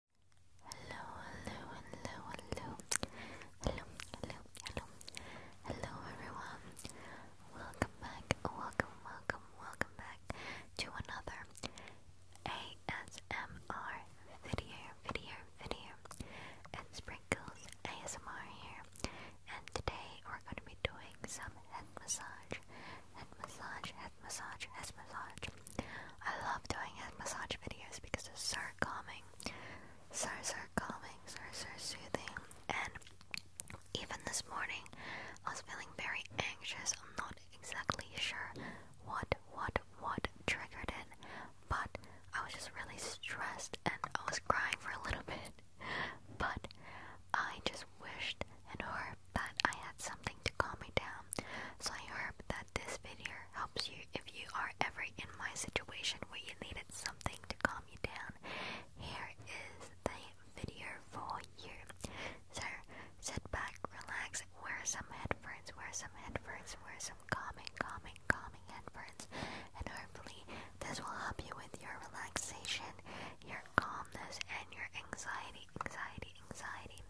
Hello, hello, hello, hello, hello, hello, hello, hello, everyone. Welcome back, welcome, welcome, welcome back to another ASMR video, video, video. It's Sprinkles ASMR here, and today we're going to be doing some head massage, head massage, head massage and massage. I love doing his massage videos because it's so calming, so so calming, so so soothing. And even this morning, I was feeling very anxious. I'm not exactly sure what what what triggered it, but I was just really stressed and I was crying for a little bit. But I just wished and hoped that I had something to calm me down, so I hope that this video helps you if you are ever in my situation where you needed something to calm you down. Here is the video for you. So sit back, relax, wear some headphones, wear some headphones, wear some calming, calming, calming headphones, and hopefully this will help you with your relaxation, your calmness, and your anxiety, anxiety, anxiety.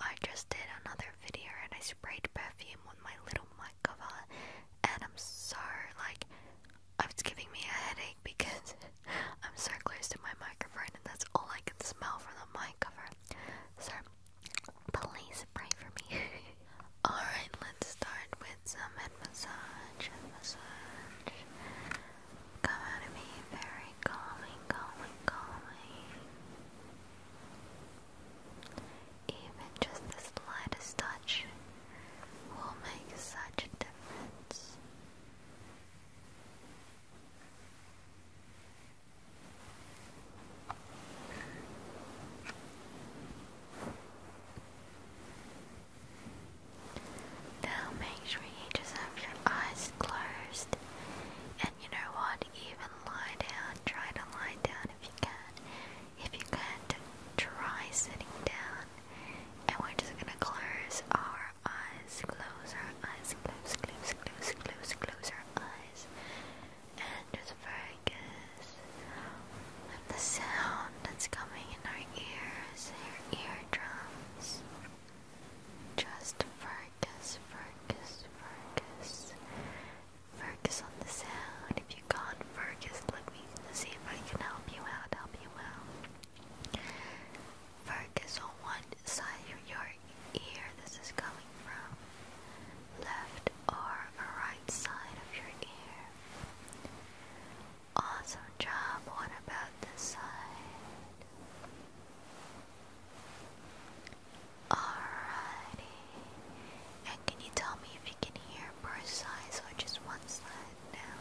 I just did another video and I sprayed perfume on my little mic cover and I'm so like it's giving me a headache because I'm so close to my microphone and that's all I can smell from the mic cover. So please pray for me. Alright, let's start with some head massage. Head massage come out me very calming, calming, calming. Even just the slightest touch will make such a difference. Now make sure you just have your eyes closed. And you know what? Even lie down. Try to lie down if you can. If you can't, try sitting down. And we're just gonna close our eyes. Close our eyes. Close, close, close, close, close our eyes. And just focus on the sound that's coming in our ears, our eardrums. Just focus, focus, focus. Focus on the sound. If you can't focus, let me see if I can help you out, help you out. Focus on one side of your ear this is coming from. Left or right side of your ear. Awesome job. What about this side? Alrighty. And can you tell me if you can hear both sides or just one side now?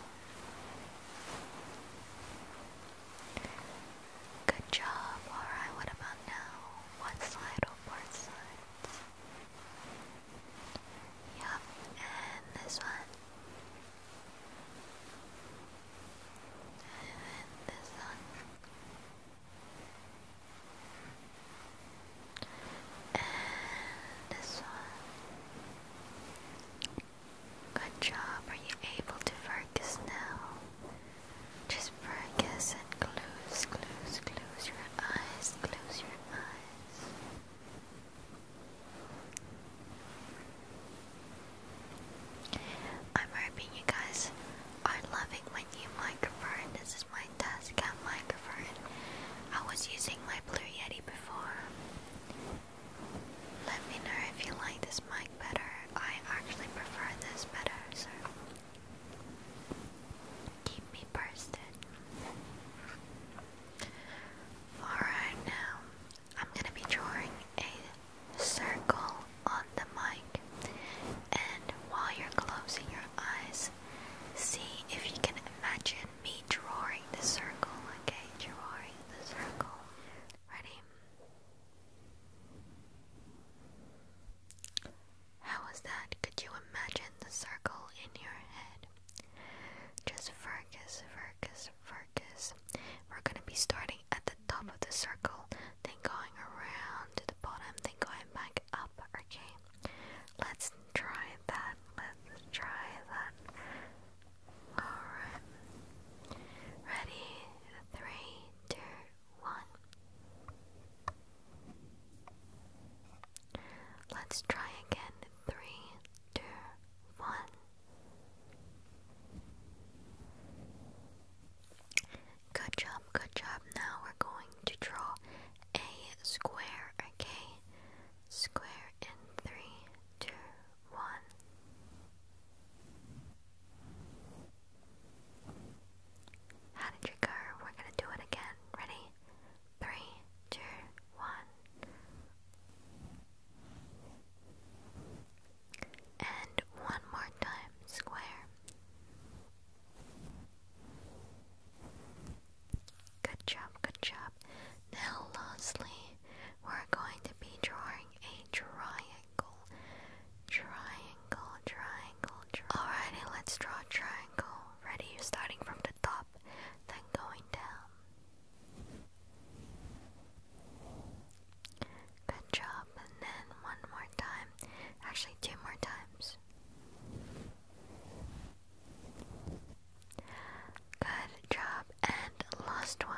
Good job. Alright, what about now? One side or both sides? Yep, and this one and the this one good job, are you able to focus now? just focus and close, close, close your eyes, close your eyes I'm hoping you guys are loving my new microphone. This is my Tascam microphone. I was using my Blue Yeti before. Let me know if you like this mic better. I actually prefer this better, so keep me posted. Alright, now I'm gonna be drawing a circle on the mic, and while you're closing your eyes, see if you can imagine me drawing the circle, okay? Drawing the circle. Ready? How was that? Could you imagine the circle in your head? Just focus, focus, focus. We're gonna be starting at the top of the circle, then going around to the bottom, then going back up, okay? Let's try that. Let's try that. Alright. Ready? Three, two, one. Let's try again. Three, two, one. Good job, good job. Now we're going to draw a square, okay? Square in three, two, one. How did you go? We're gonna do it again. Ready? three, two, one. And one more time, square. Good job, good job. Now, lastly, we're going to be drawing a triangle. Triangle, triangle, Alrighty, let's draw a triangle already starting from the top, then going down. Good job, and then one more time. Actually, two more times. Good job, and last one.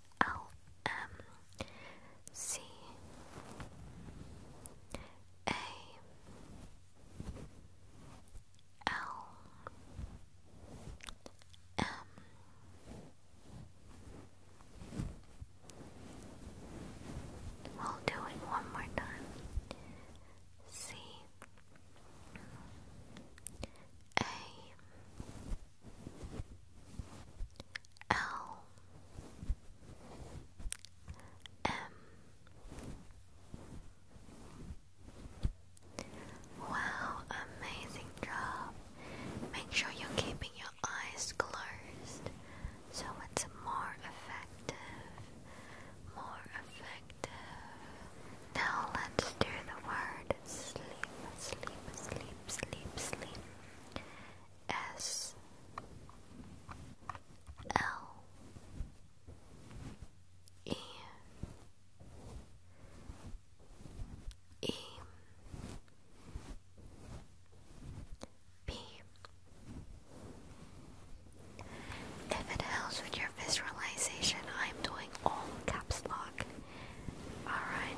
L M L M We'll do it one more time. C A L M Wow, amazing job. Make sure you're keeping your eyes closed so it's more effective. More effective. Now let's do the word sleep, sleep, sleep, sleep, sleep. S L E E P If it helps with your visualization, I'm 12 all caps lock. Alright,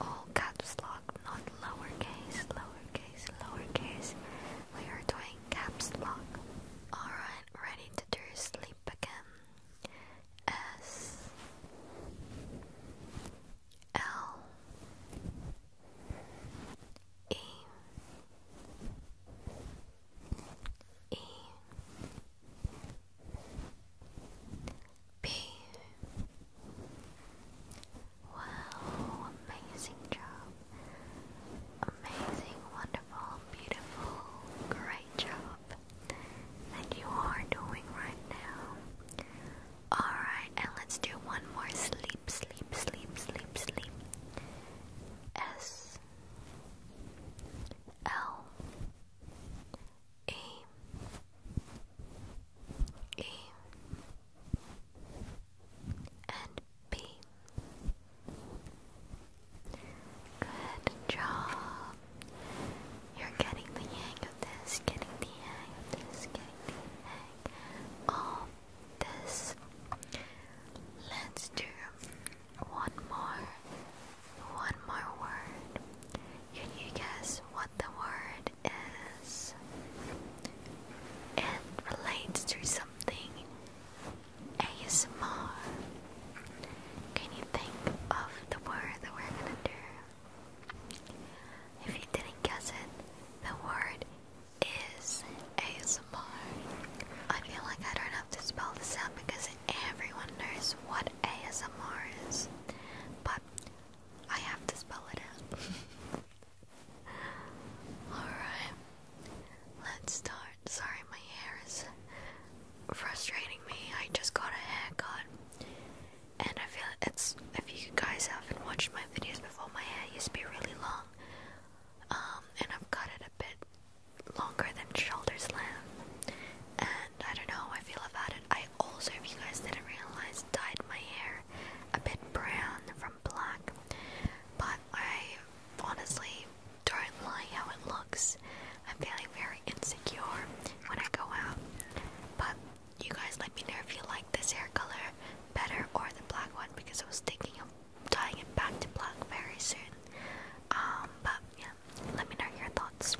all caps lock, not lowercase, lowercase, lowercase. We are doing caps lock. Alright, ready to do sleep again. S L E E B. Wow, amazing job. Amazing, wonderful, beautiful, great job that you are doing right now. Alright, and let's do one more sleep, sleep, sleep, sleep, sleep. S L A A and B. Good job. You're getting the hang of this, getting the hang of this, getting the hang of this. Let's do one more, one more word. Can you guess what the word is? It relates to something ASMR. Can you think of the word that we're gonna do? If you didn't guess it, the word is ASMR. I feel like I don't have to spell this out because everyone knows what ASMR is, but I have to spell it out. Alright, let's start. Sorry, my hair is frustrating me. I just got a haircut, and I feel it's. If you guys haven't watched my videos before, my hair used to be really long, um, and I've cut it a bit longer than shoulders length. And I don't know how I feel about it. I also, if you guys didn't realize, dyed my hair a bit brown from black. But I honestly don't like how it looks. I'm feeling very insecure when I go out. But you guys let me know if you like this hair color better or the black one because I was thinking of tying it back to black very soon. Um, but yeah, let me know your thoughts.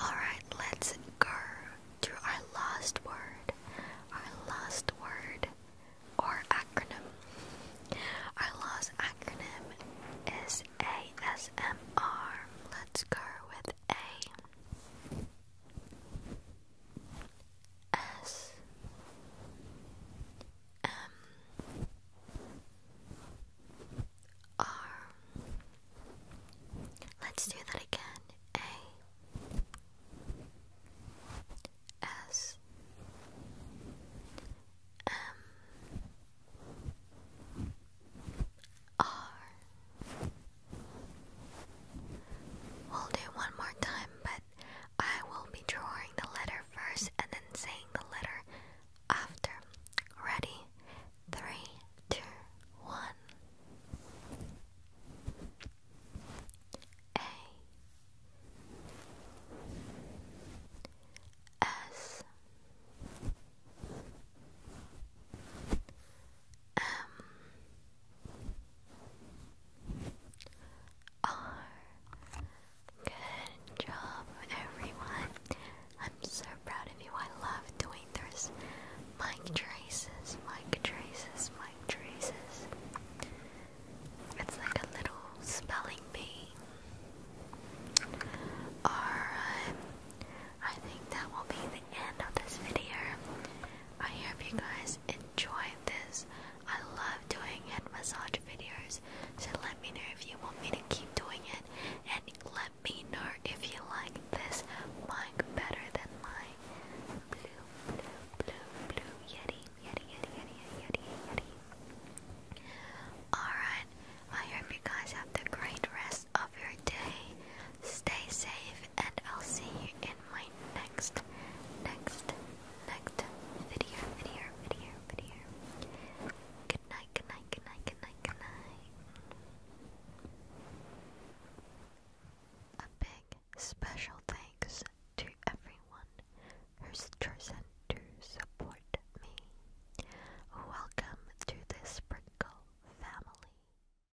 Alright, let's go to our last word. Our last word or acronym. Our last acronym is ASMR. Let's go with A. S M R. Let's do that again. A S M R. We'll do one more time, but I will be drawing the letter first and then saying the letter after. Ready? Three, two, one. A S M um, R. Good job, everyone. I'm so proud of you. I love doing those mic traces, mic traces, mic traces. It's like a little spelling bee. Alright, think that will be the end of this video. I hope you guys enjoy this. I love doing head massage videos, so let me know if you want me to keep doing it, and let me know if you like this mic better than my blue, blue, blue, blue Yeti, Yeti, Yeti, Yeti, Yeti. Alright, I hope you guys have the great rest of your day. Stay safe, and I'll see you in my next, next, next video, video, video, video. Good night, good night, good night, good night, good night. A big special thanks to everyone who's chosen to support me. Welcome to the Sprinkle family.